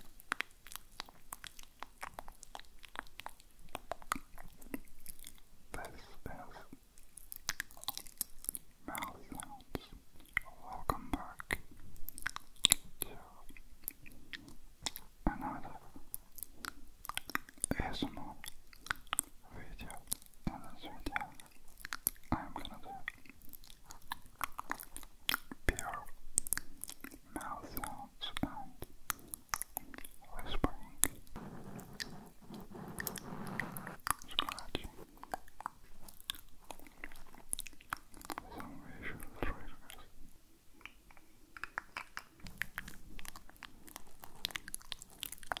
This is Mouth Sounds. Welcome back to another ASMR video. In this video, I'm gonna do pure mouth sounds whispering, scratching, some visual triggers.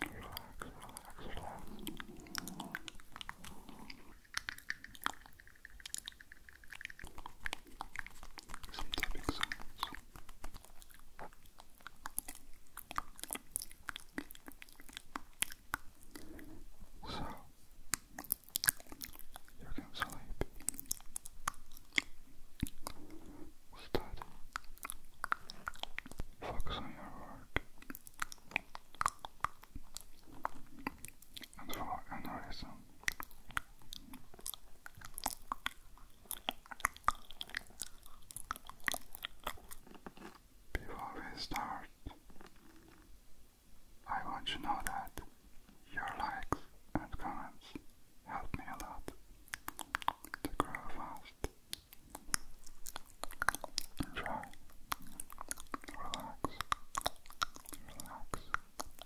Relax, relax, relax. Some So you can sleep, study, focus on your work, and for Before we start, I want you to know that your likes and comments help me a lot to grow fast. Enjoy, relax, relax,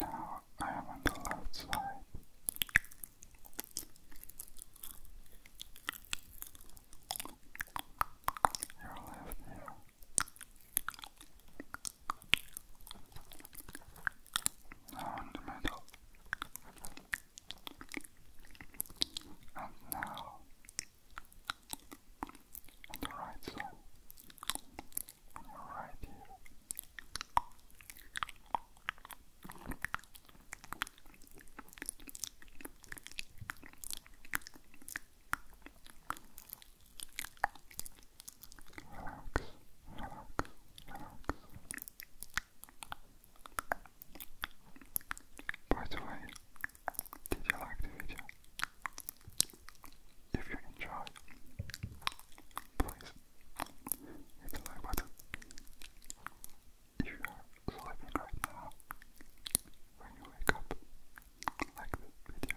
Now I am on the left side. Your left ear. Now in the middle. And now, on the right side, on your right ear. Relax, relax, relax. By the way, did you like the video? If you enjoyed, please hit the like button. If you are sleeping right now, when you wake up, like this video.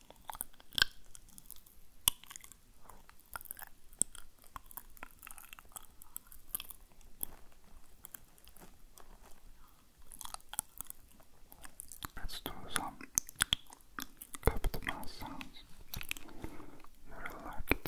Let's do some capital mouth You really like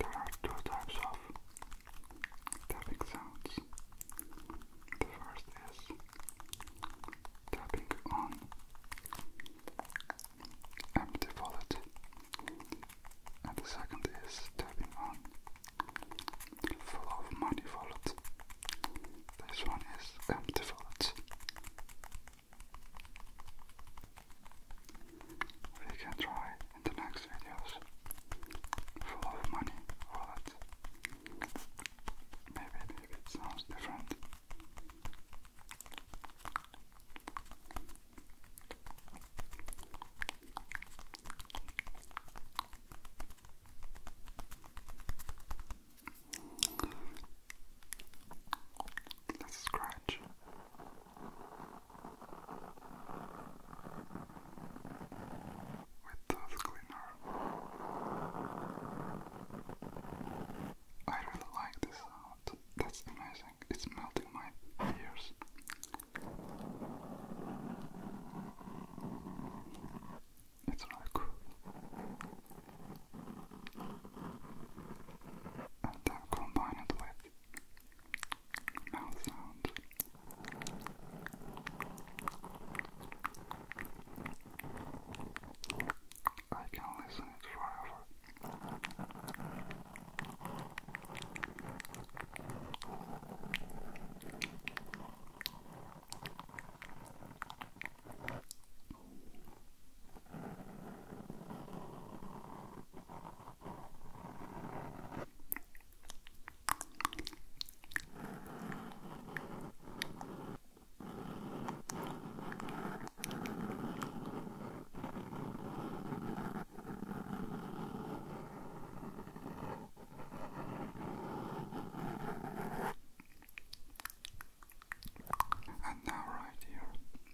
There are two types of tapping sounds. The first is tapping on empty wallet, and the second is tapping on full of money wallet. This one is empty wallet. We can try in the next videos. Full of money wallet. Maybe it sounds different. Let's scratch. With Dove Cleaner. I really like this sound. That's amazing. It's melting my ears. It's really and then with mouth sounds. I can listen it forever. And now, right here,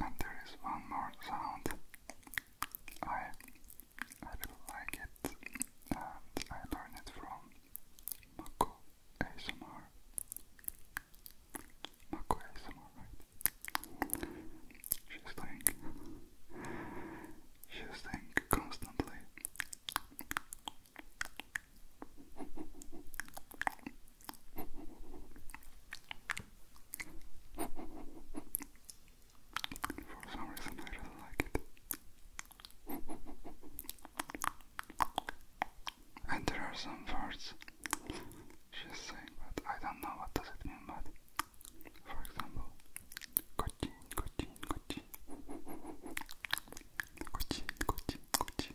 And there is one more sound. I like it and I learned it from Mako ASMR. Mako ASMR, right? She's like, she's saying constantly. For some reason, I really like it. And there are some words she's saying, but I don't know what does it mean, for example, kochi, kochi, kochi, kochi, kochi, kochi.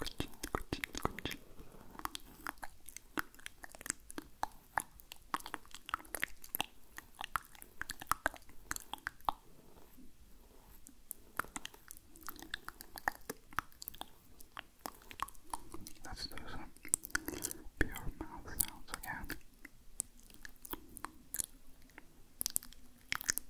Let's do some pure mouth sounds again.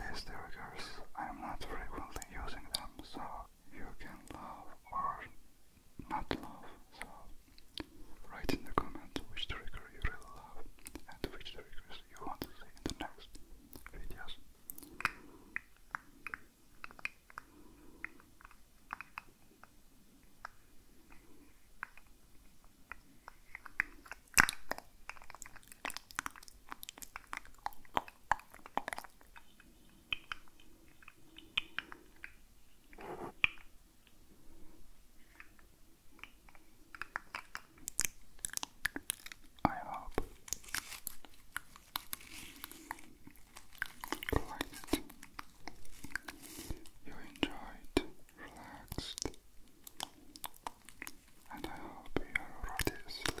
These derivatives, I am not frequently using them, so you can love or not love. So write in the comments which trigger you really love and which triggers you want to see in the next videos. I hope you liked it. You enjoyed, relaxed, and I hope you are already asleep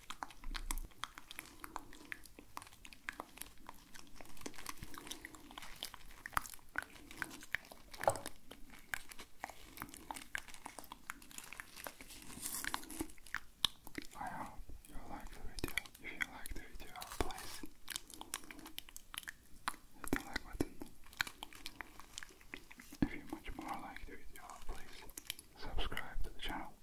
I hope you like the video. If you like the video, please hit the like button. If you much more like the video, please subscribe to the channel.